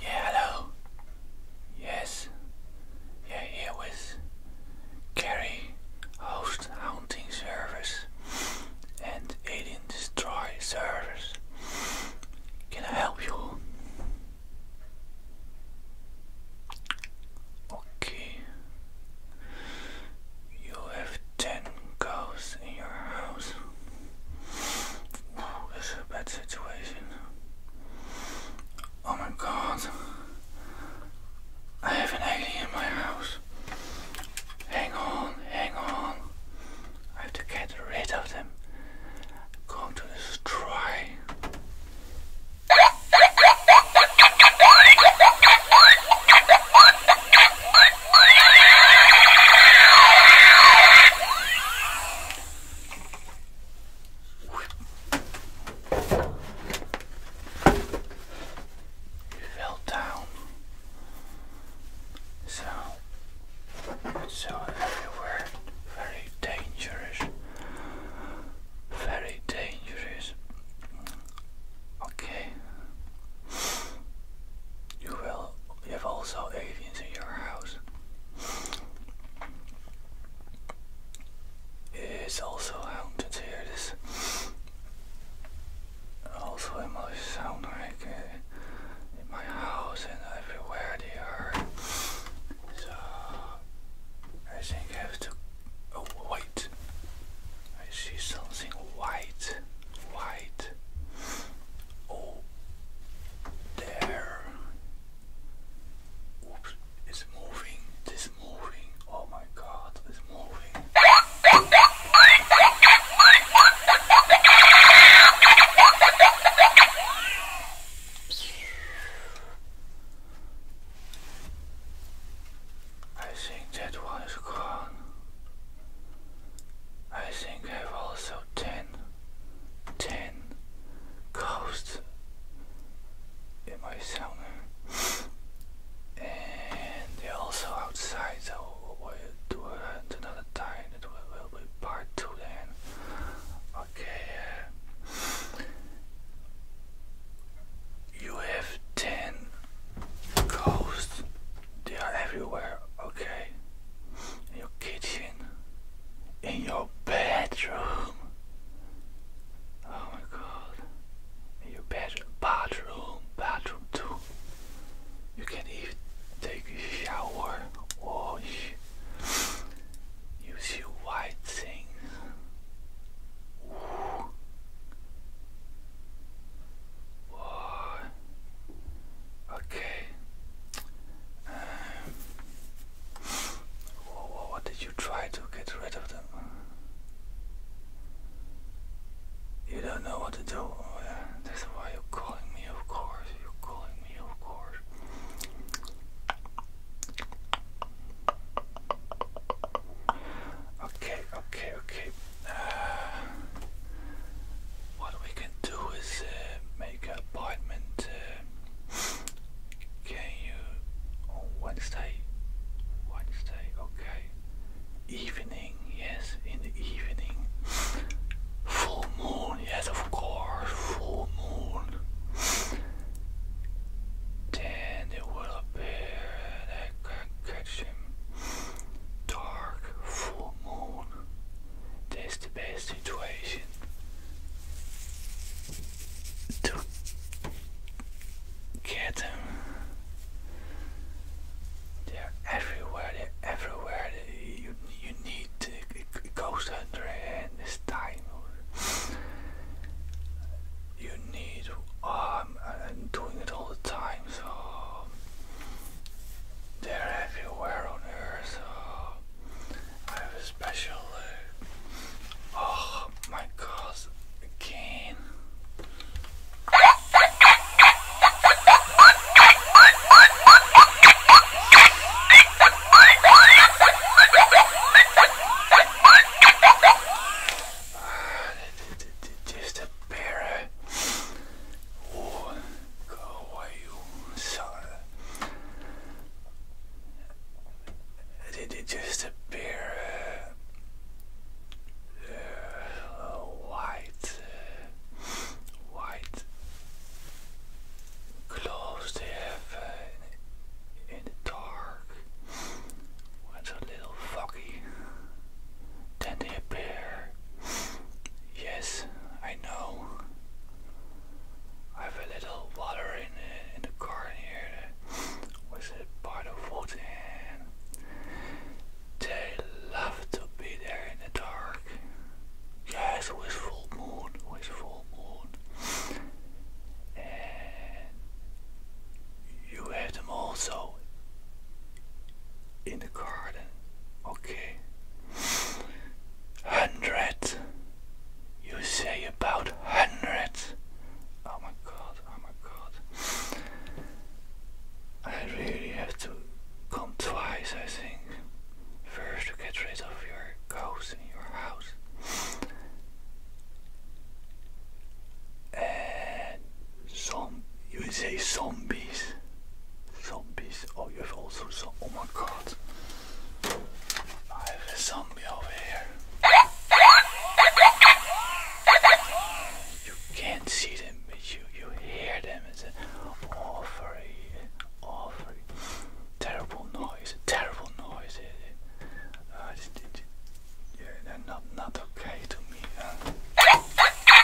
Yeah, hello. Yes. Yeah, here with Carrie, host hunting service and alien destroy service. Can I help you? Okay. You have ten cows in your house this is a bad situation. Oh my god. I have an alien in my house. Hang on, hang on. I have to get rid of them. I'm going to destroy. You fell down. So so everywhere very dangerous. Very dangerous. Okay. You will you have also living in your house. It's also haunted here. also in my sound like uh, in my house and everywhere they are. So I think I have to. Oh, wait! I see something white, white. Oh, there. Oops, it's moving. It's moving. Oh my god, it's moving. I think that one is gone. I think I've also 10, 10 ghosts in my sauna. and they're also outside, so we'll do it another time. It will, will be part 2 then. Okay. Uh, you have 10 ghosts they are everywhere, okay? In your kitchen, in your bedroom. Oh my god. In your bedroom, bathroom, bathroom too. You can even take a shower, wash. You see white things. Ooh. Boy. Okay. Um, what, did you try to get rid of them? You don't know what to do. Oh, That's why you're calling me, of course. You're calling me, of course. Okay, okay, okay. Uh, what we can do is uh, make an appointment. Uh, can you on Wednesday? Wednesday, okay. Evening, yes, in the evening. Full moon, yes, of course, full moon. Then it will appear and can catch him. Dark full moon. That's the best situation to get them. They're everywhere. They're everywhere. You you need a ghost hunter and this time. you need. I'm um, uh, doing it all the time. So they're everywhere on Earth. Oh, uh, oh my God! Again. Ah, just a pair of oh, Kawaiusara. Did it just appear uh, white, white clothes they have in the dark it's a little foggy? Then they appear. Yes, I know. I have a little water in the, in the car here that was a part of wood and they love to be there in the dark. Yes, with full moon, with full moon. And you have them also in the garden. Okay. Hundreds. You say about hundreds. Oh my god, oh my god. I really have to come twice, I think. First, to get rid of your ghosts in your house. And some, you say zombies. Zombies. Oh, you have also some. Oh my god. I have a zombie over here. You can't see them, but you, you hear them. It's an awfully, awfully terrible noise. Terrible noise. Uh, not, not okay to me.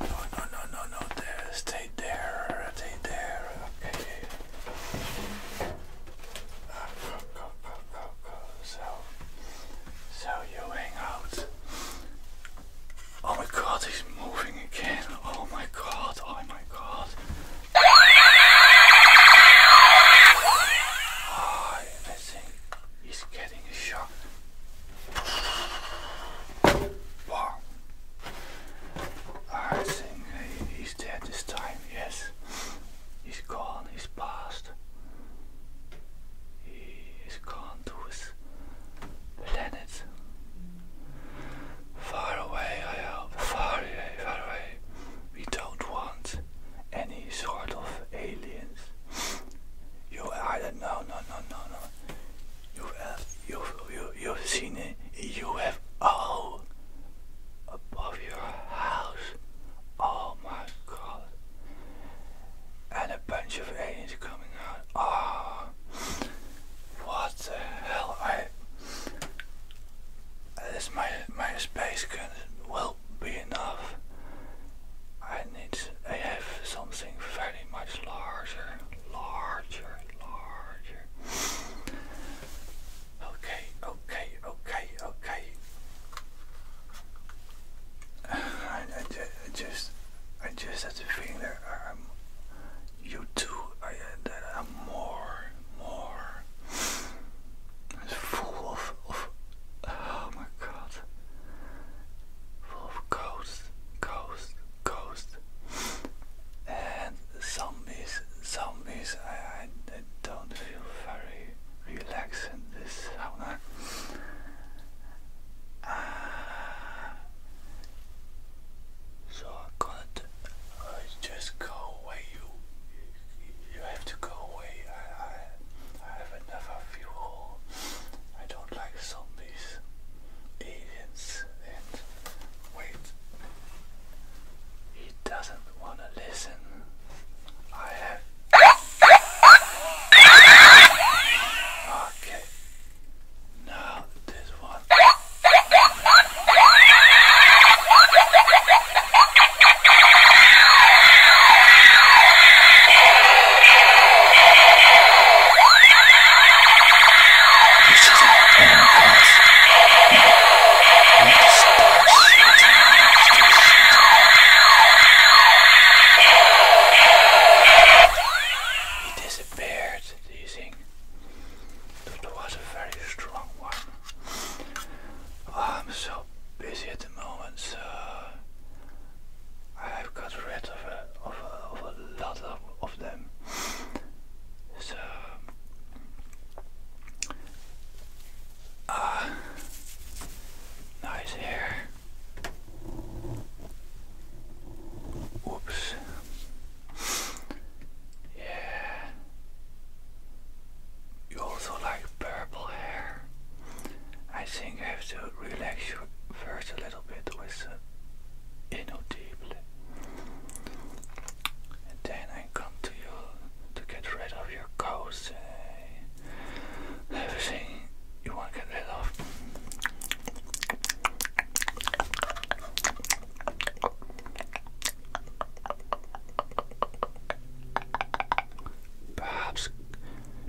No, no, no, no, no, there. Stay there. Stay there. Okay. go, go, go, go, go. So, so you hang out. Oh my god, he's moving again. Oh my god, oh my god. Oh, I think he's getting shot. Wow. I think he's dead this time, yes. He's gone, he's passed. He has gone to his planet. Far away, I hope. Far away, far away. We don't want any sort of aliens. You, I don't know, no, no, no, no you have you you you've seen it. You have all above your house. Oh my God! And a bunch of aliens coming out. Ah, oh, what the hell? I this my my space gun will be enough. I need I have something very much larger, larger, larger. Okay, okay, okay, okay. I, I, I just I just have the feeling that I'm you too I that I'm more more full of oh my god world full of ghosts, ghosts, ghosts, and zombies, zombies. I, I, don't feel very relaxed in this sauna. Uh, so I got to just go away. You, you have to go away. I, I, I have enough of I don't like zombies these and wait. He doesn't want to listen. I have. Okay. Now this one. He disappeared, do you think? That was a very strong one. Oh, I'm so busy at the moment, so I've got rid of a, of a, lot of, of them. So ah, nice hair. Oops. Yeah. You also like purple hair. I think I have to relax you first a little little bit with the anal then I come to you to get rid of your ghosts, eh, everything you want get rid of. Perhaps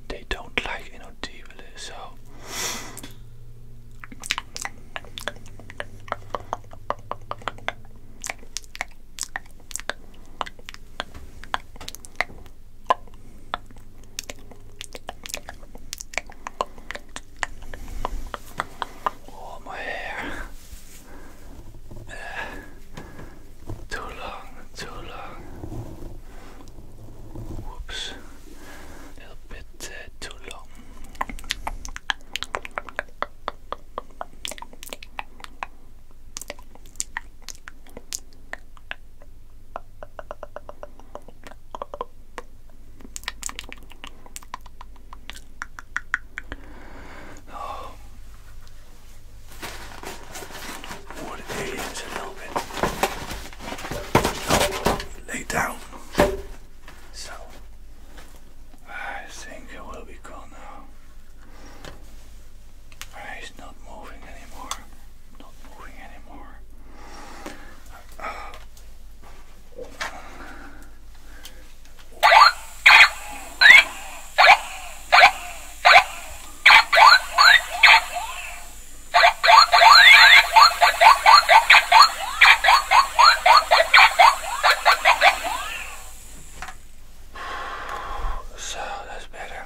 they don't like you know tea really so Oh my hair too long, too long. Whoops a little bit uh, too long. Oh, wood a little lay down. So I think it will be cool now. He's not moving anymore. Not moving anymore. So that's better.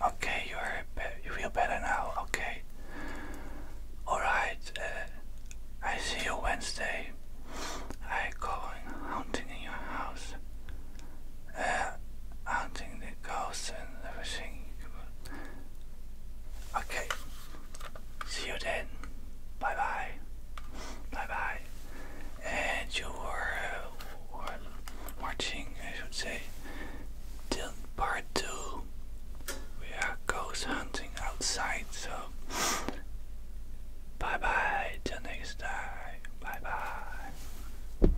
Okay, you are you feel better now. Okay. All right. Uh, I see you Wednesday. I go hunting in your house hunting the ghosts and everything. Okay, see you then. Bye bye. Bye bye. And you were, uh, watching, I should say, part two. We are ghost hunting outside, so bye bye till next time. Bye bye.